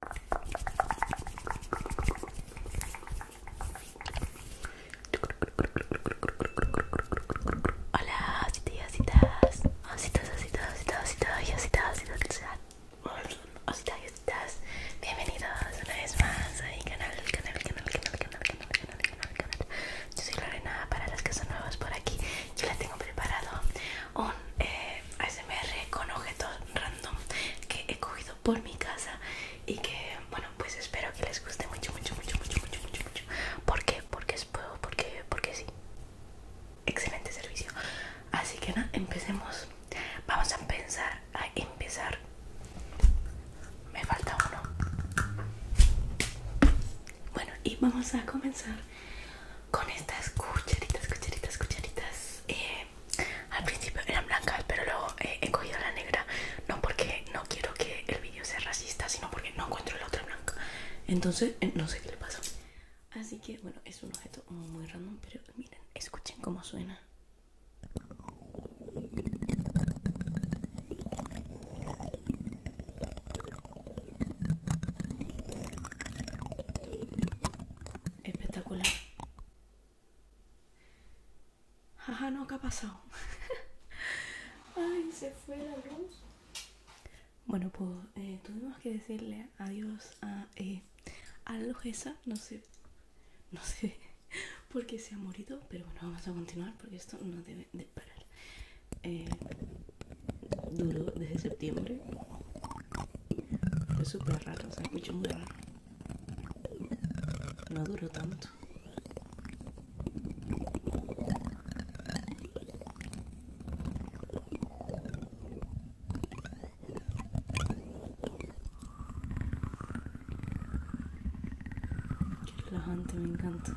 Hola, ositositos, y ositas, bienvenidos una vez más a mi canal, canal, canal, canal, canal, canal, canal, canal, canal. Yo soy Lorena, para las que son nuevas por aquí, yo les tengo preparado un eh, S.M.R. ASMR con objetos random que he cogido por mi casa y que bueno pues espero que les guste mucho mucho mucho mucho mucho mucho mucho ¿Por porque es puedo porque porque sí excelente servicio así que nada empecemos vamos a pensar a empezar me falta uno bueno y vamos a comenzar con estas cucharitas, cucharitas, cucharitas. Eh, al principio eran blancas, pero luego eh, he cogido la negra. No porque no quiero que el vídeo sea racista, sino porque no encuentro la otra blanca. Entonces, eh, no sé qué le pasó Así que, bueno, es un objeto muy random, pero miren, escuchen cómo suena. Espectacular. Ajá, no, que ha pasado? Ay, se fue la luz. Bueno, pues eh, tuvimos que decirle adiós a, eh, No sé, no sé por qué se ha morido, pero bueno, vamos a continuar porque esto no debe de parar. Eh, duro desde septiembre. Es super raro, se escucha muy raro. No duró tanto. Qué relajante, me encanta.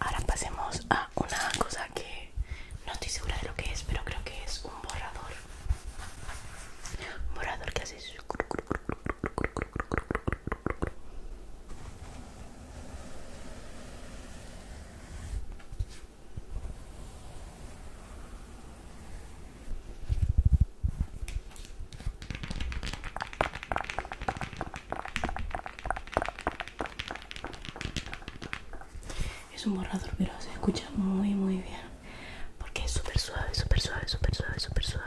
Ahora pasemos a una cosa que no estoy segura de lo que es, pero creo que es un borrador. borrador que hace... Es un borrador, pero se escucha muy, muy bien. Porque es súper suave, súper suave, súper suave, súper suave.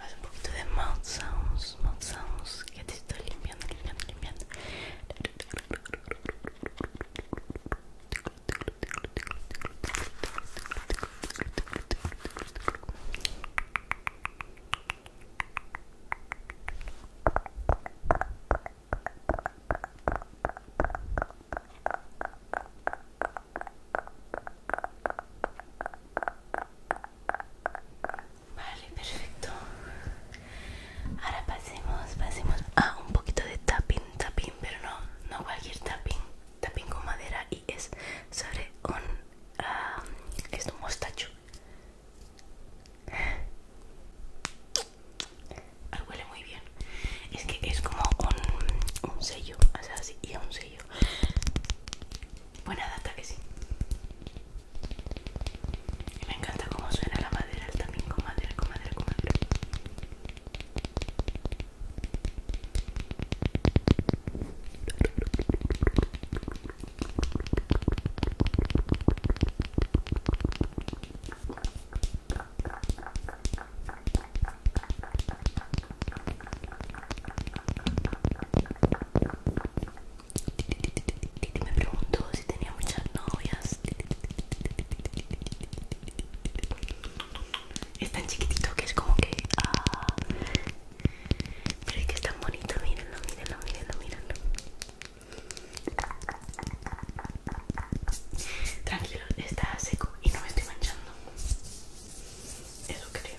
Hace un poquito de mouth sounds, que te estoy limpiando, limpiando, limpiando. Vale, perfecto. Ahora pasemos, pasemos a un poquito de tapping, tapping, pero no, no cualquier tapping, tapping con madera y es sobre un, um, es un mostacho. Ah, huele muy bien. Es que es como un, un sello, así, y un sello. Buena data que sí me encanta cómo suena la madera, el también madera, con madera, con madera. Me pregunto si tenía muchas novias. Es tan chiquitito que es como que. Ah, pero es que es tan bonito, mírenlo, mírenlo, mírenlo, mírenlo. Tranquilo, está seco y no me estoy manchando. Eso creo.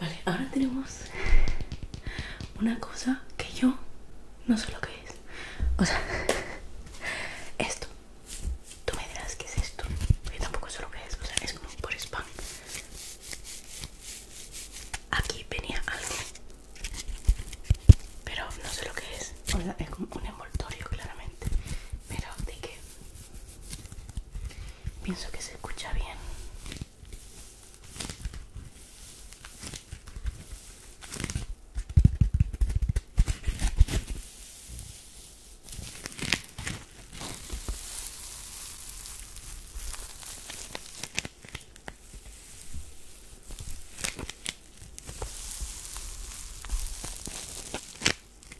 Vale, ahora tenemos una cosa que yo no sé lo que es. O sea, esto. Tú me dirás qué es esto. Yo tampoco sé lo que es. O sea, es como por spam. Aquí venía algo. Pero no sé lo que es. O sea, es como un envoltorio, claramente. Pero de que Pienso que se escucha bien.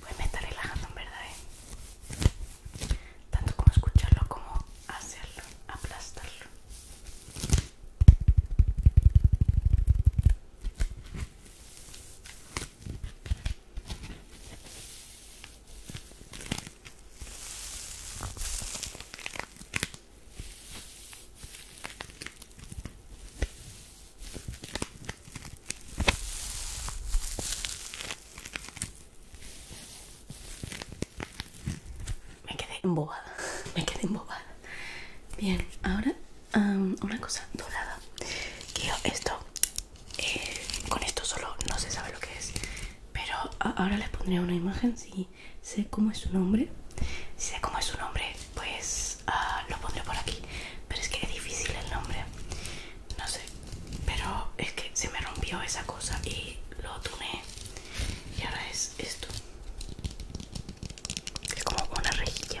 Pues me está relajando en verdad, ¿eh? Tanto como escucharlo como hacerlo, aplastarlo. Me quedé embobada, me quedé embobada. Bien, ahora una cosa dorada. Que esto, eh, con esto solo no se sabe lo que es. Pero ahora les pondré una imagen si sé cómo es su nombre. Si sé cómo es su nombre, pues ah, lo pondré por aquí. Pero es que es difícil el nombre. No sé. Pero es que se me rompió esa cosa y lo tomé Y ahora es esto. Es como una rejilla.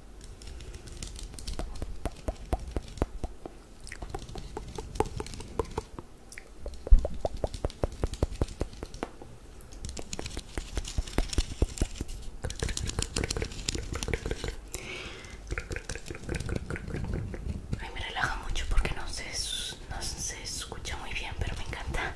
Ay, me relaja mucho porque no se, no se escucha muy bien, pero me encanta.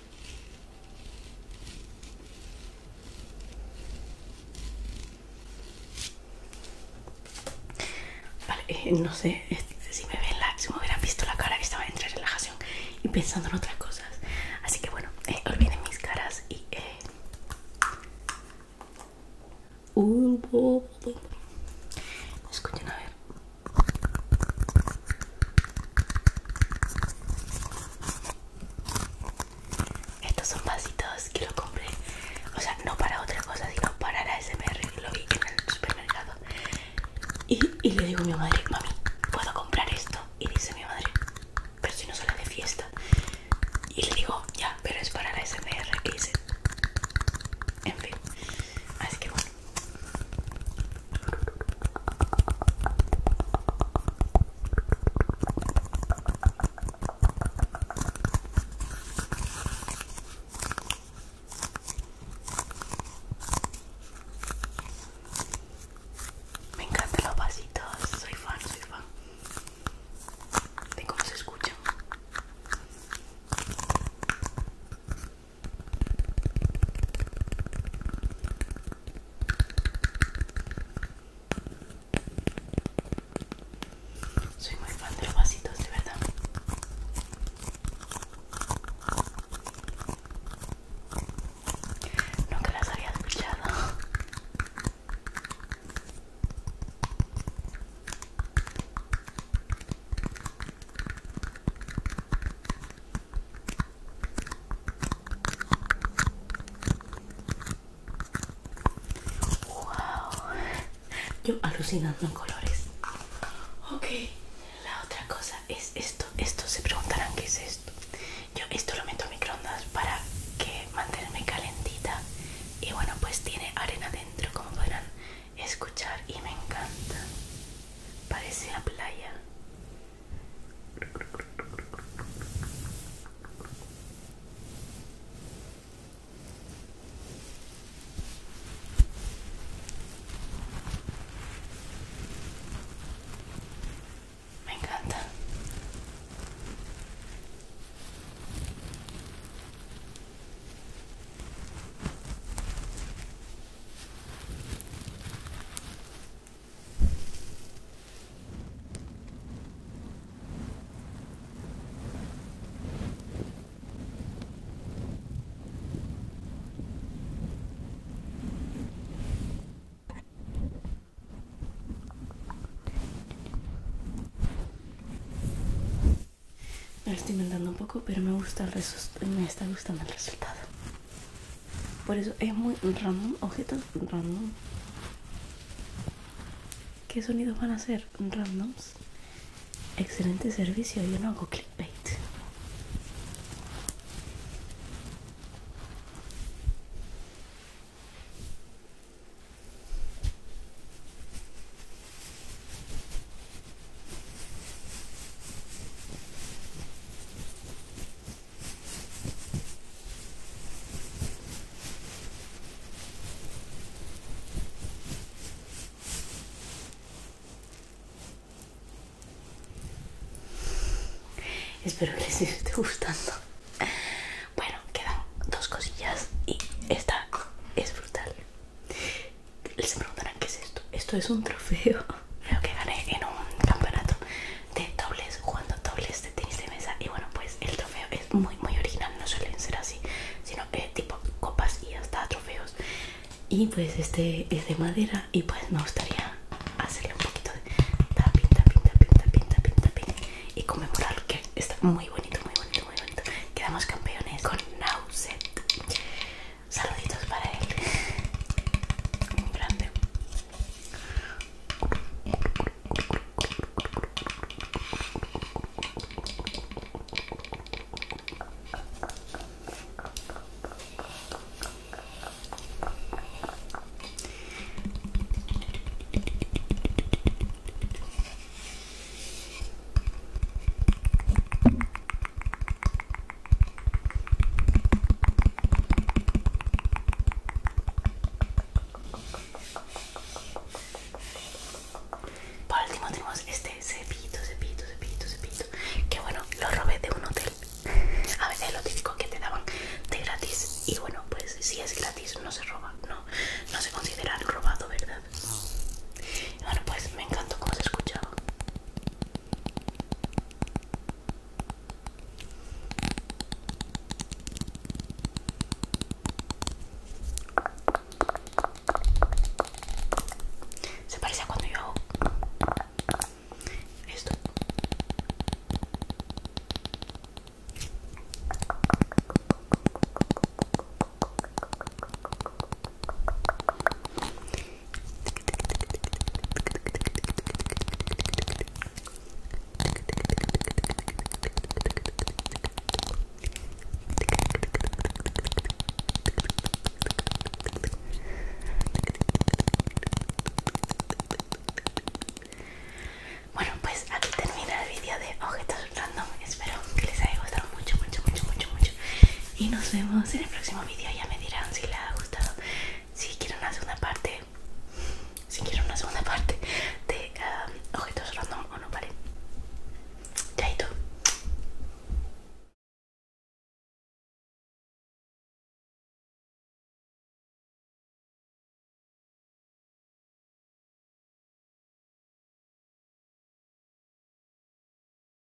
Vale, eh, no sé si me ven me hubieran visto la cara que estaba entre relajación y pensando en otras cosas. Así que bueno, eh, olviden mis caras y... Eh... Escuchen a ver. Estos son vasitos que lo compré, o sea, no para otra cosa, sino para la SMR, lo vi en el supermercado. Y, le digo a mi madre, mami, ¿puedo comprar esto? Y dice mi madre, pero si no suele de fiesta. Y le digo, ya, pero es para la SMR que dice En fin, así que bueno. Me encantan los vasitos, soy fan, soy fan tengo que se escuchan. Soy muy fan de los vasitos, de verdad. Nunca las había escuchado. Wow. Yo alucinando en colores. Ok, la otra cosa es esto. Esto se preguntarán qué es esto. Yo esto lo meto a microondas para que mantenerme calentita. Y bueno, pues tiene arena dentro, como podrán escuchar. Y me encanta. Parece la playa. Me encanta. Me estoy inventando un poco, pero me gusta el me está gustando el resultado. Por eso es muy random, objetos random. ¿Qué sonidos van a ser? Randoms. Excelente servicio, yo no hago clickbait. Espero que les esté gustando. Bueno, quedan dos cosillas y esta es brutal les preguntarán qué es esto. Esto es un trofeo. Creo que gané en un campeonato de dobles, jugando dobles de tenis de mesa. Y bueno, pues el trofeo es muy, muy original. No suelen ser así, sino que eh, tipo copas y hasta trofeos. Y pues este es de madera. Y pues me gustaría hacerle un poquito de tapping, Y conmemorar que está muy bonito, muy bonito, muy bonito. Quedamos campeones con Nauset. Saluditos para él. Un grande. Por último tenemos este cepito cepito cepito cepito Que bueno, lo robé de un hotel A veces es lo típico que te daban de gratis Y bueno, pues si es gratis no se roba No, no se considera robado, ¿verdad? Bueno, pues me encantó cómo se escuchaba se parece a cuando yo esto. Bueno, pues aquí termina el vídeo de objetos random. Espero que les haya gustado mucho, mucho, mucho, mucho, mucho y nos vemos en el próximo vídeo. Ya me dirán si les ha gustado, si quieren una segunda parte, si quieren una segunda parte de ojitos um, objetos random o no, vale. Chaito.